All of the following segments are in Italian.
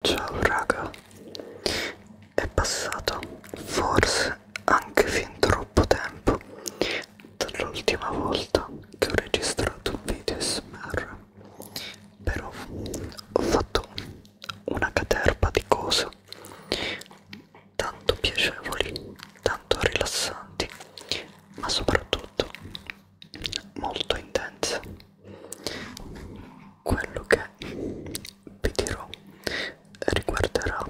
Ciao raga, è passato forse anche fin troppo tempo dall'ultima volta che ho registrato un video SMR, però ho fatto una caterpa di cose tanto piacevoli, tanto rilassanti, ma soprattutto molto intense quello che vi dirò riguarderà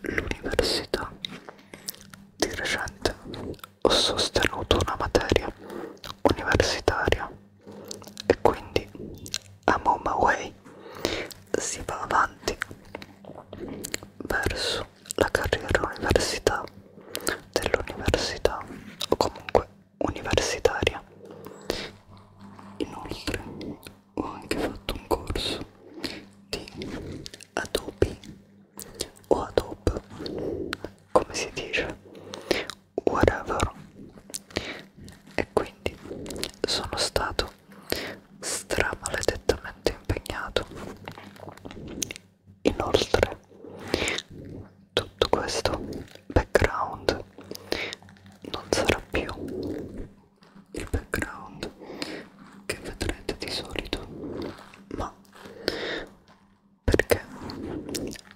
l'università. Di recente ho sostenuto una materia universitaria e quindi I'm on my way si va avanti verso la carriera università dell'università o comunque universitaria. Inoltre ho anche fatto un corso di Adobe o Adobe, come si dice, whatever. E quindi sono stato stramaledettamente impegnato. Inoltre tutto questo background non sarà più il background che vedrete di solito ma perché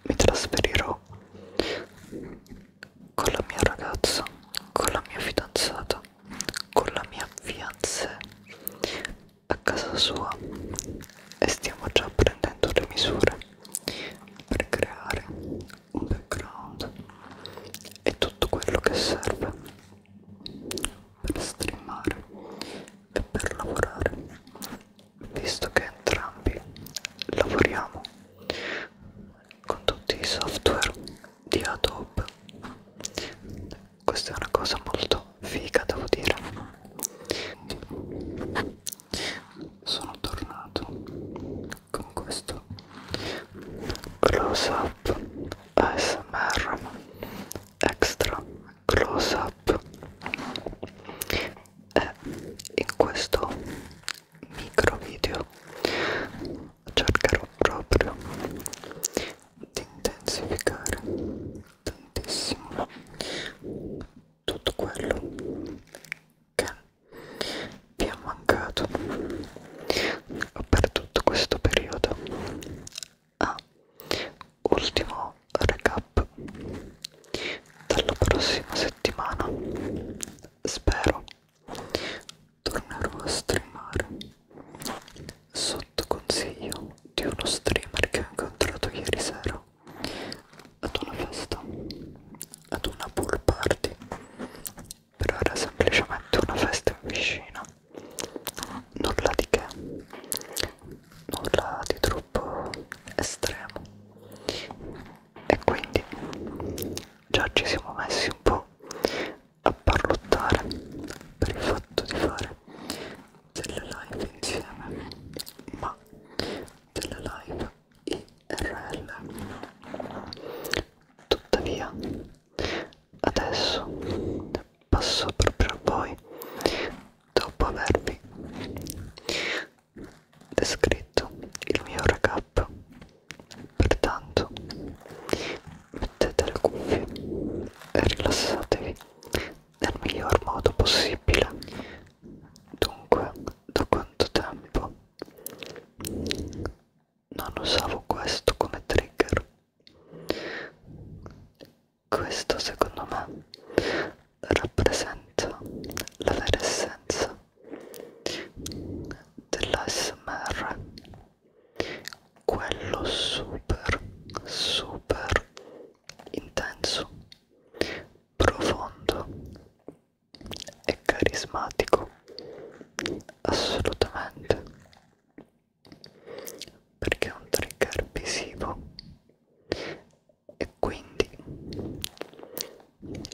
mi trasferirò con la mia ragazza con la mia fidanzata con la mia fiancée a casa sua e stiamo già prendendo le misure per creare un background e tutto quello che serve per streamare e per lavorare visto che entrambi lavoriamo con tutti i software di Adobe questa è una cosa molto figa devo dire sono tornato con questo close up ASMR extra close up e in questo micro video cercherò proprio di intensificare tantissimo tutto quello che vi ha mancato per tutto questo periodo. Ah, ultimo recap. Dalla prossima settimana spero tornerò a streamare sotto consiglio di uno streamer che ho incontrato ieri sera ad una festa, ad una pool party, però era semplicemente una festa in piscina, nulla di che, nulla di troppo estremo e quindi già ci siamo messi un po' a parlottare per il fatto di fare delle live insieme ma delle live IRL tuttavia adesso passo proprio a voi dopo avervi descritto il mio recap pertanto mettete le cuffie e rilassatevi nel miglior modo possibile dunque da quanto tempo non usavo questo come trigger questo secondo me rappresenta la vera essenza dell'ASMR quello super super intenso profondo e carismatico assolutamente perché è un trigger visivo e quindi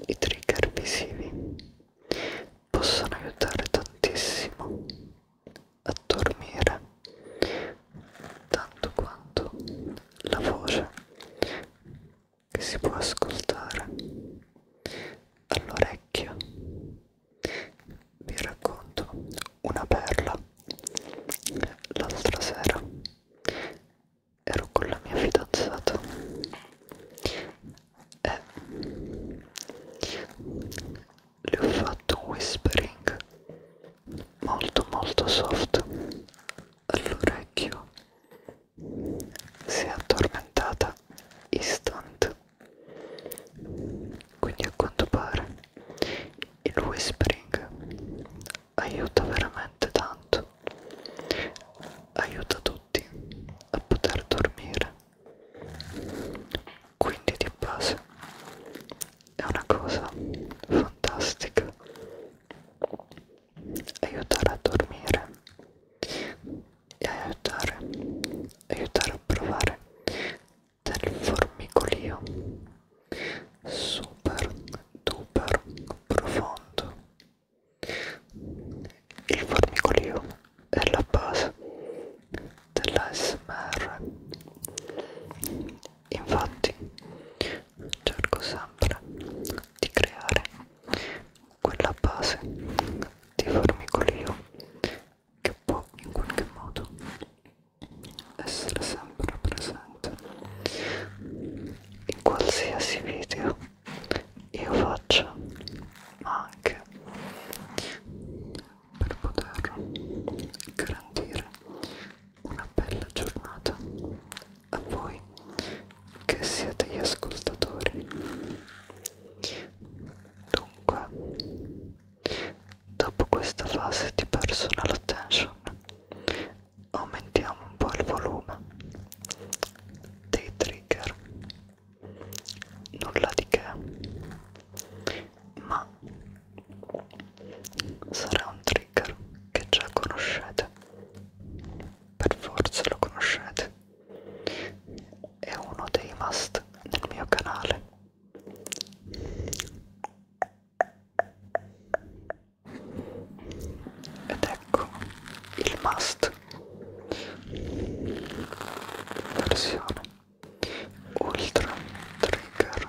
i trigger visivi possono aiutare tantissimo a dormire tanto quanto la voce che si può ascoltare all'orecchio vi racconto una perla l'altra sera ero con la mia fidanzata e le ho fatto un whispering molto molto soft all'orecchio si è addormentata istant quindi a quanto pare il whispering aiuta veramente tanto aiuta tutti a poter dormire quindi di base è una cosa fantastica aiutare a dormire e aiutare, aiutare a provare del formicolio super duper profondo il formicolio è la base dell'ASMR infatti cerco sempre di creare quella base di formicolio che può in qualche modo essere sempre presente in qualsiasi video io faccia ma anche per poter garantire una bella giornata a voi che siete gli ascoltatori dunque dopo questa fase di personal attention aumentiamo un po' il volume dei trigger nulla di che ma sarà un trigger che già conoscete per forza lo conoscete è uno dei must nel mio canale ed ecco il must versione ultra trigger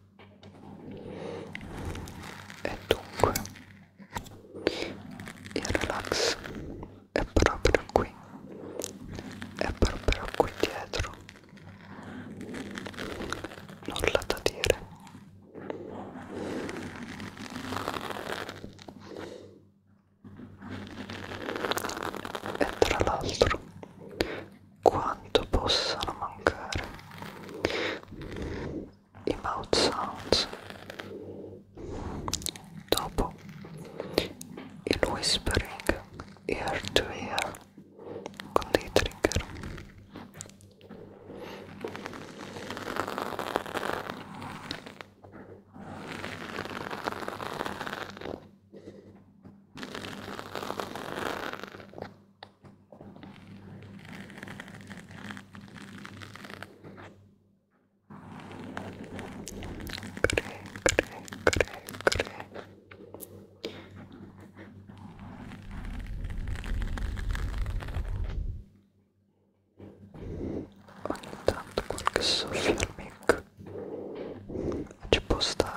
e dunque il relax è proprio qui è proprio qui dietro nulla da dire e tra l'altro quanto possano mancare i mouth sounds dopo il whispering ear to ear con dei trigger Ogni tanto qualche soffio al mic ci può stare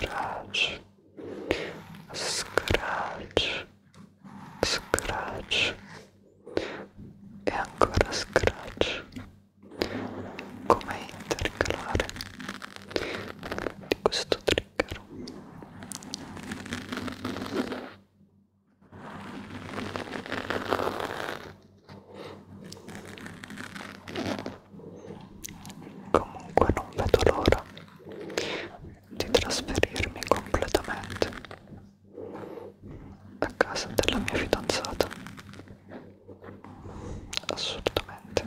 Scratch, scratch, scratch e ancora scratch come intercalare di questo trigger Comunque non vedo l'ora di trasferirmi completamente a casa della mia fidanzata. Assolutamente.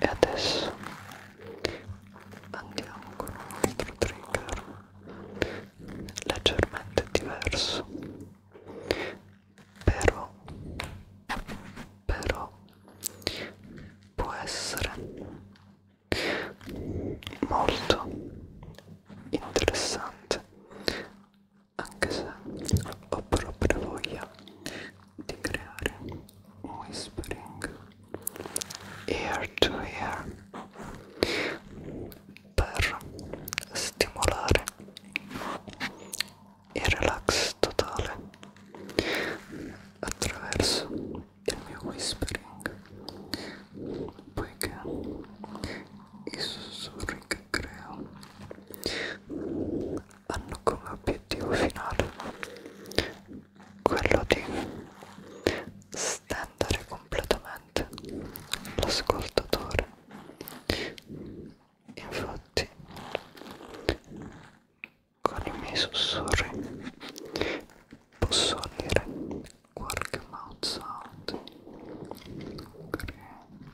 e adesso andiamo con un altro trigger leggermente diverso però però può essere molto interessante anche se ho proprio voglia di creare un whispering ear to ear per stimolare il relax totale attraverso il mio whispering poiché i sussurri che che creo hanno come obiettivo finale quello di stendere completamente l'ascoltatore infatti con i miei sussurri posso dire qualche mouth sound che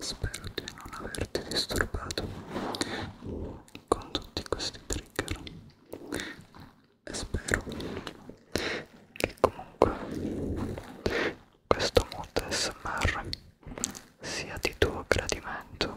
Spero di non averti disturbato con tutti questi trigger e spero che comunque questo mood smr sia di tuo gradimento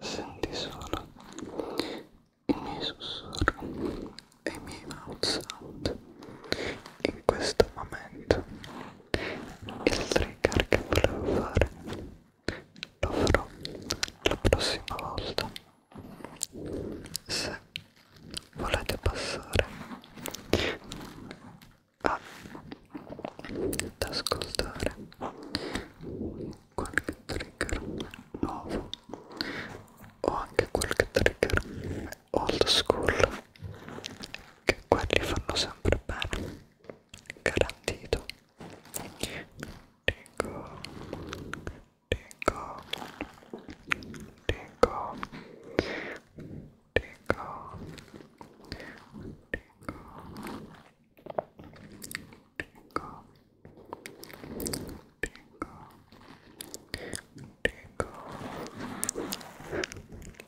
Senti solo i miei sussurri e i miei mouth sound in questo momento il trigger che volevo fare lo farò la prossima volta se volete passare ad ascoltare qualche trigger nuovo o anche qualche trigger old school che quelli fanno sempre bene garantito dico dico dico dico dico dico Dico, dico,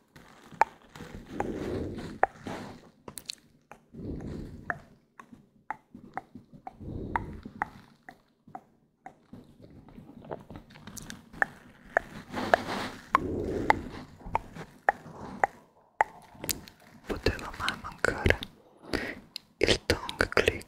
Poteva mai mancare il tongue click.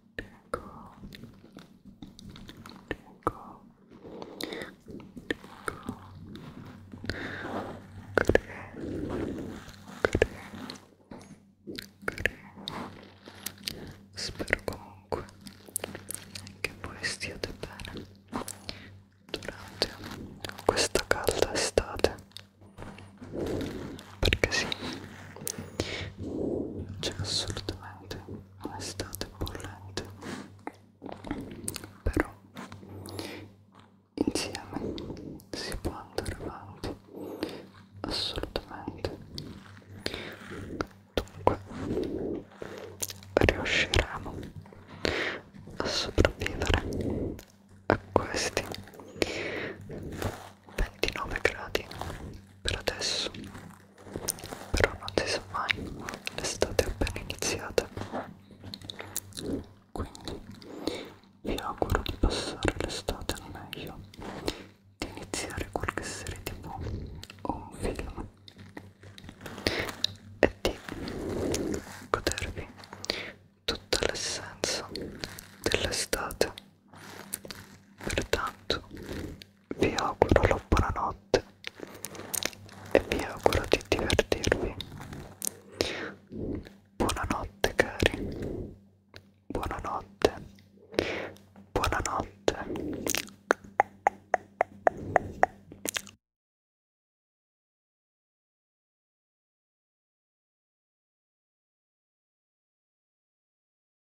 Spero comunque che voi stiate bene durante questa calda estate perché sì c'è assolutamente un'estate ah, bollente però insieme si può andare avanti assolutamente dunque riusciremo a sopravvivere a questi 29 gradi per adesso però non si sa mai l'estate è appena iniziata quindi vi auguro di passare l'estate al meglio di iniziare qualche serie tv o un film e di godervi tutta l'essenza dell'estate pertanto vi auguro la buonanotte e vi auguro di divertirvi. Buonanotte cari, buonanotte, buonanotte.